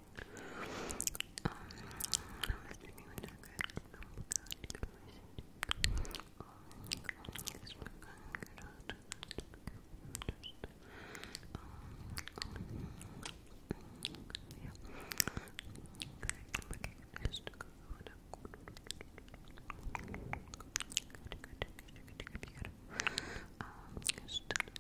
Um, I was dreaming when I got oh my god, you can always see Oh my god, this one kind of good out Um, yeah Okay, I just go it up Good, good, good, good, good, good, good Um, just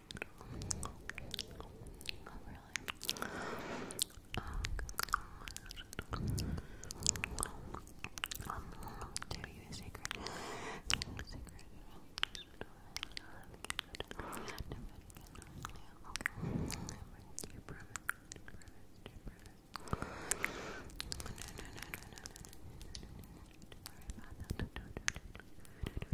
really? you a secret? secret? no, no, no, no, no,